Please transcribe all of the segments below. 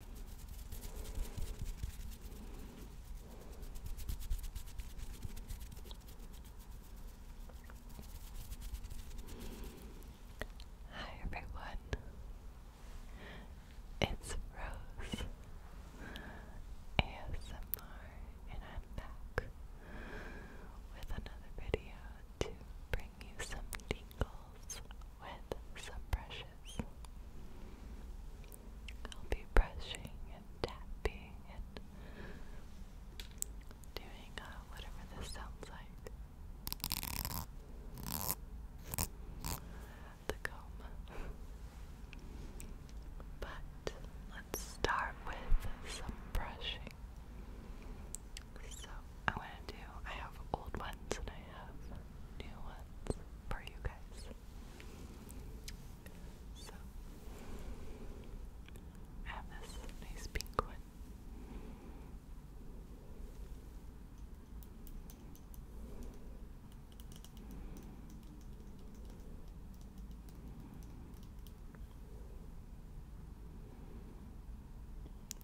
Hi everyone, it's Rose ASMR, and I'm back with another video to bring you some tingles with some brushes. I'll be brushing and tapping and doing uh, whatever this sounds like. The comb. But let's start with some brushing. So I want to do, I have old ones and I have new ones for you guys. So, I have this nice pink one.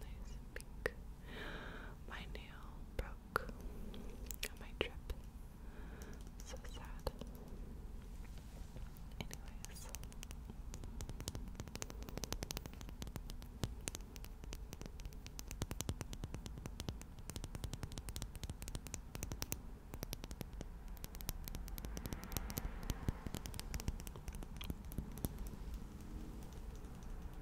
Nice pink. My nail broke on my trip. So sad. Anyways.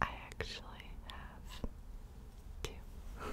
Alright, now I actually have two.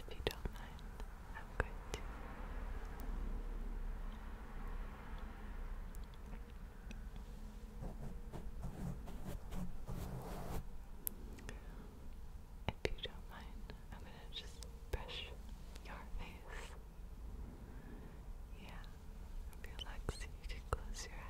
If you don't mind, I'm going if you don't mind, I'm gonna just brush your face. Yeah, relax. You can close your eyes.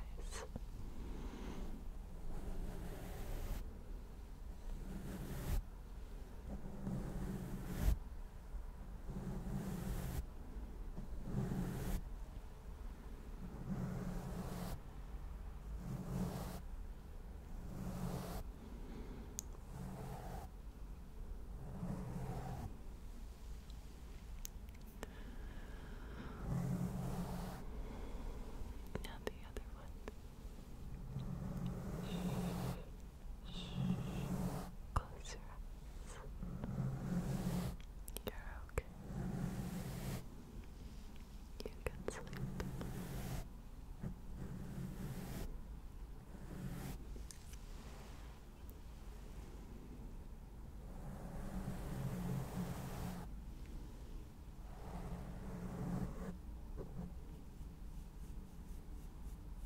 Now the other one. Close your eyes. You're okay. You can sleep.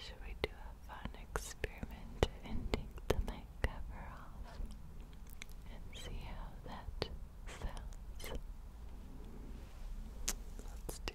Should we do a fun experiment of ending the mic cover off? and see how that sounds. Let's do it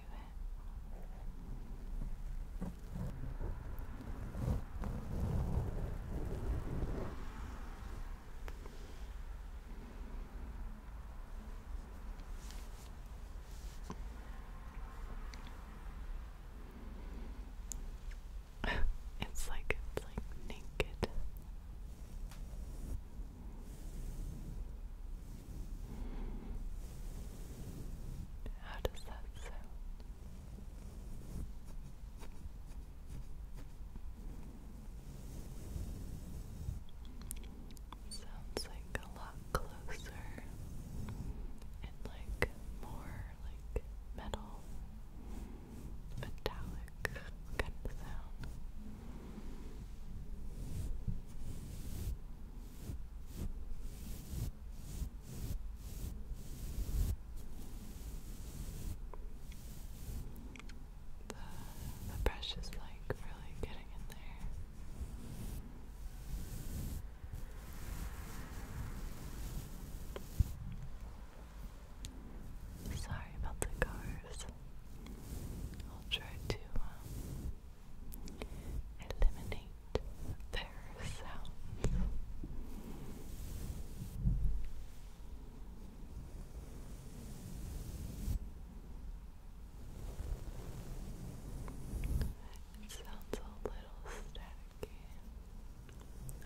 it's like it's like naked. How does that sound? Sounds like a lot closer and like more like metal metallic kind of sound. The, the brush is like really getting in there. Sorry about the cars. I'll try to uh, eliminate their sounds. It sounds a little static. Okay.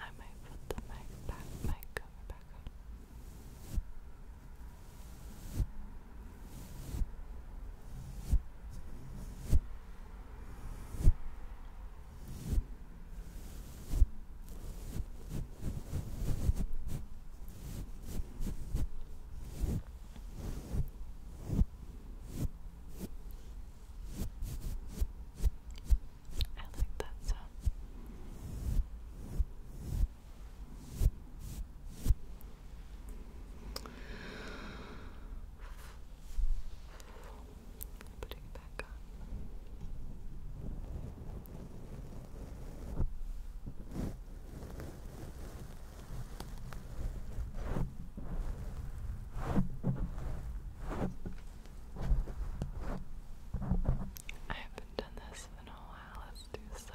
I might put the mic back mic cover back on. I like that sound. Putting it back on. I haven't done this in a while. Let's do some.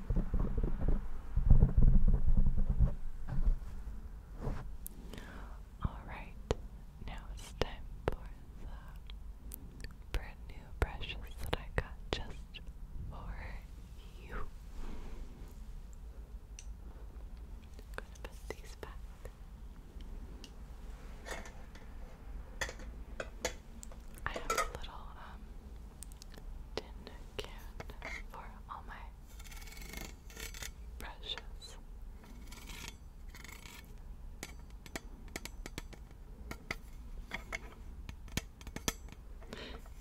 Alright, now it's time for the brand new brushes that I got just for you. I'm gonna put these back. I have a little um tin can for all my brushes.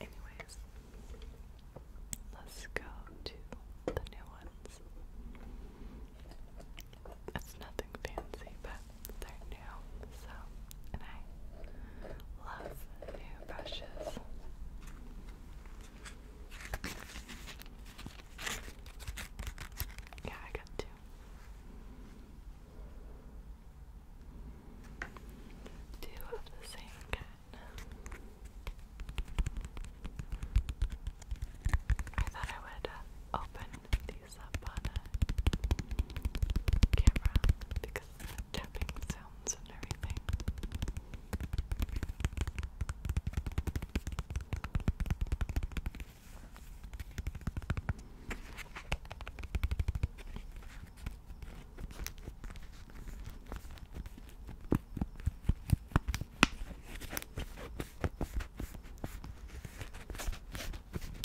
Anyways, let's go to the new ones. It's nothing fancy, but they're new, so, and I love new brushes. Yeah, I got two. Two of the same kind. I thought I would uh, open the these up on a camera because the tapping sounds and everything.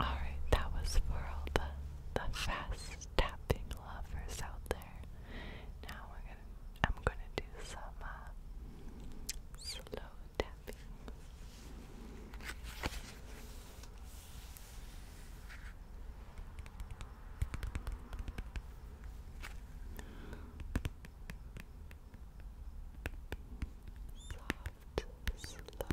All right, that was for all the the fast tapping lovers out there. Now we're gonna, I'm gonna do some uh, slow tapping. Soft, slow tapping. Soft,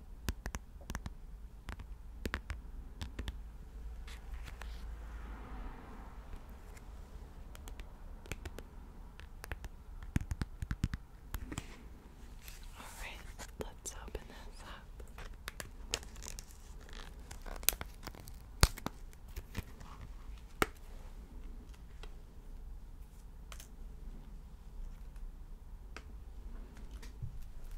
All right, let's open this up.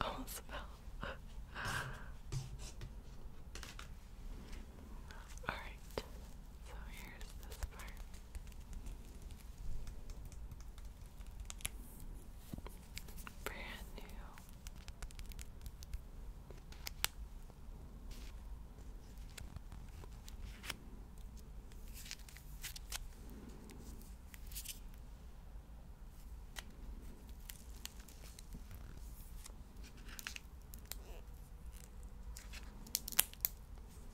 Almost fell. All right. So here's this part. Brand new.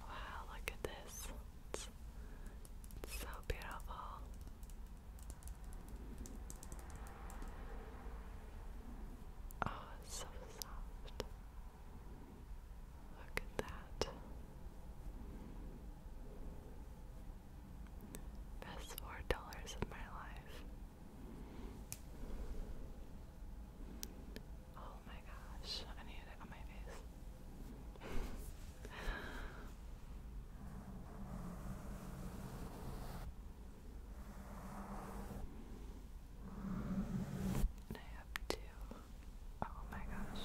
Wow, look at this. It's, so beautiful. Oh, it's so soft. Look at that. Best four dollars of my life. Oh my gosh, I need it on my face. and I Oh my gosh.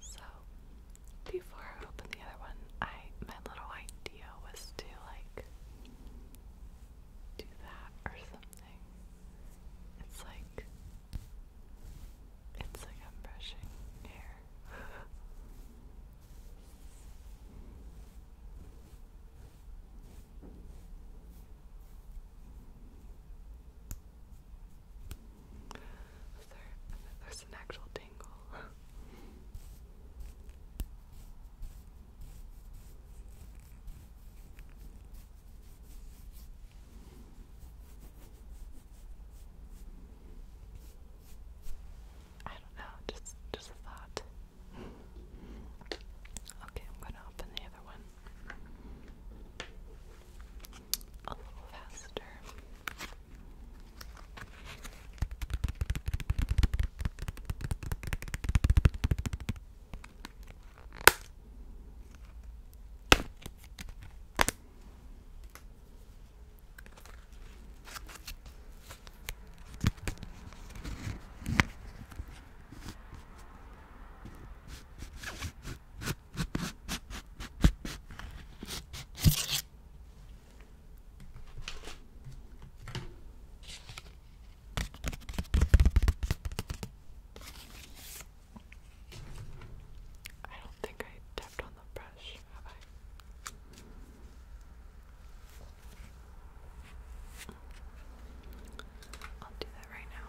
So before I open the other one, I my little idea was to like do that or something. It's like it's like I'm brushing hair. there, there's an actual tingle. I don't know, just just a thought. okay, I'm gonna open the other one a little faster. I don't think I tapped on the brush, have I? I'll do that right now.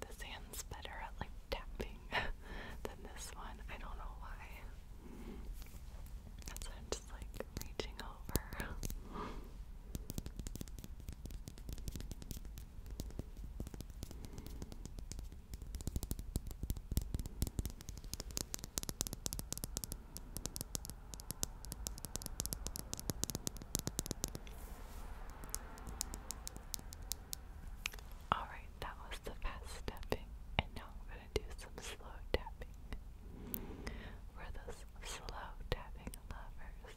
This hand's better at like tapping than this one. I don't know why. That's I'm just like reaching over. Alright, that was the fast stepping, and now do some slow tapping. We're those slow tapping lovers.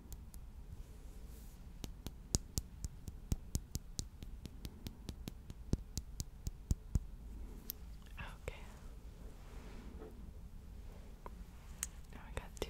Okay. Now I got two.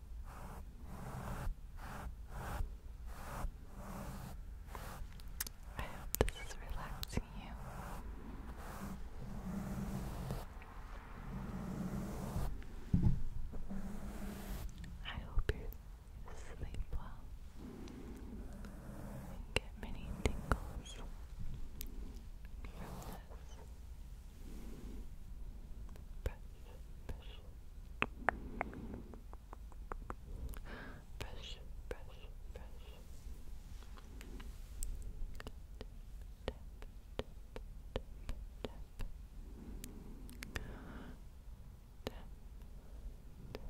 I hope this is relaxing you. I hope you sleep well and get many tingles from this press brush, brush, brush. Tap, tap, tap, tap. Tap, tap, tap.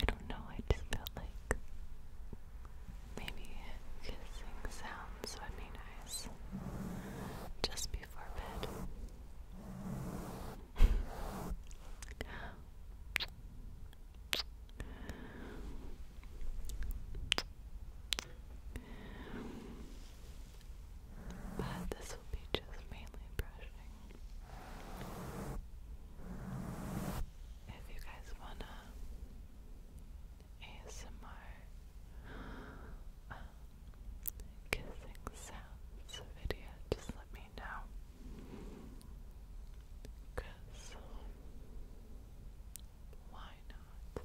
I don't know, I just felt like maybe kissing sounds would be nice just before bed. But this will be just mainly brushing if you guys wanna ASMR um, kissing sounds video, just let me know. Cause why not?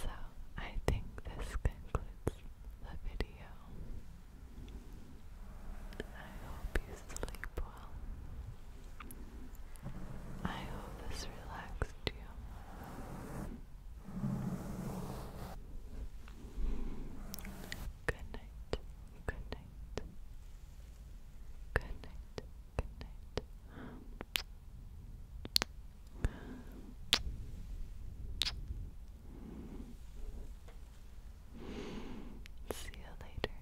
So, I think this concludes the video. I hope you sleep well. I hope this relaxed you. Good night. Good night. Good night. Good night. See you later.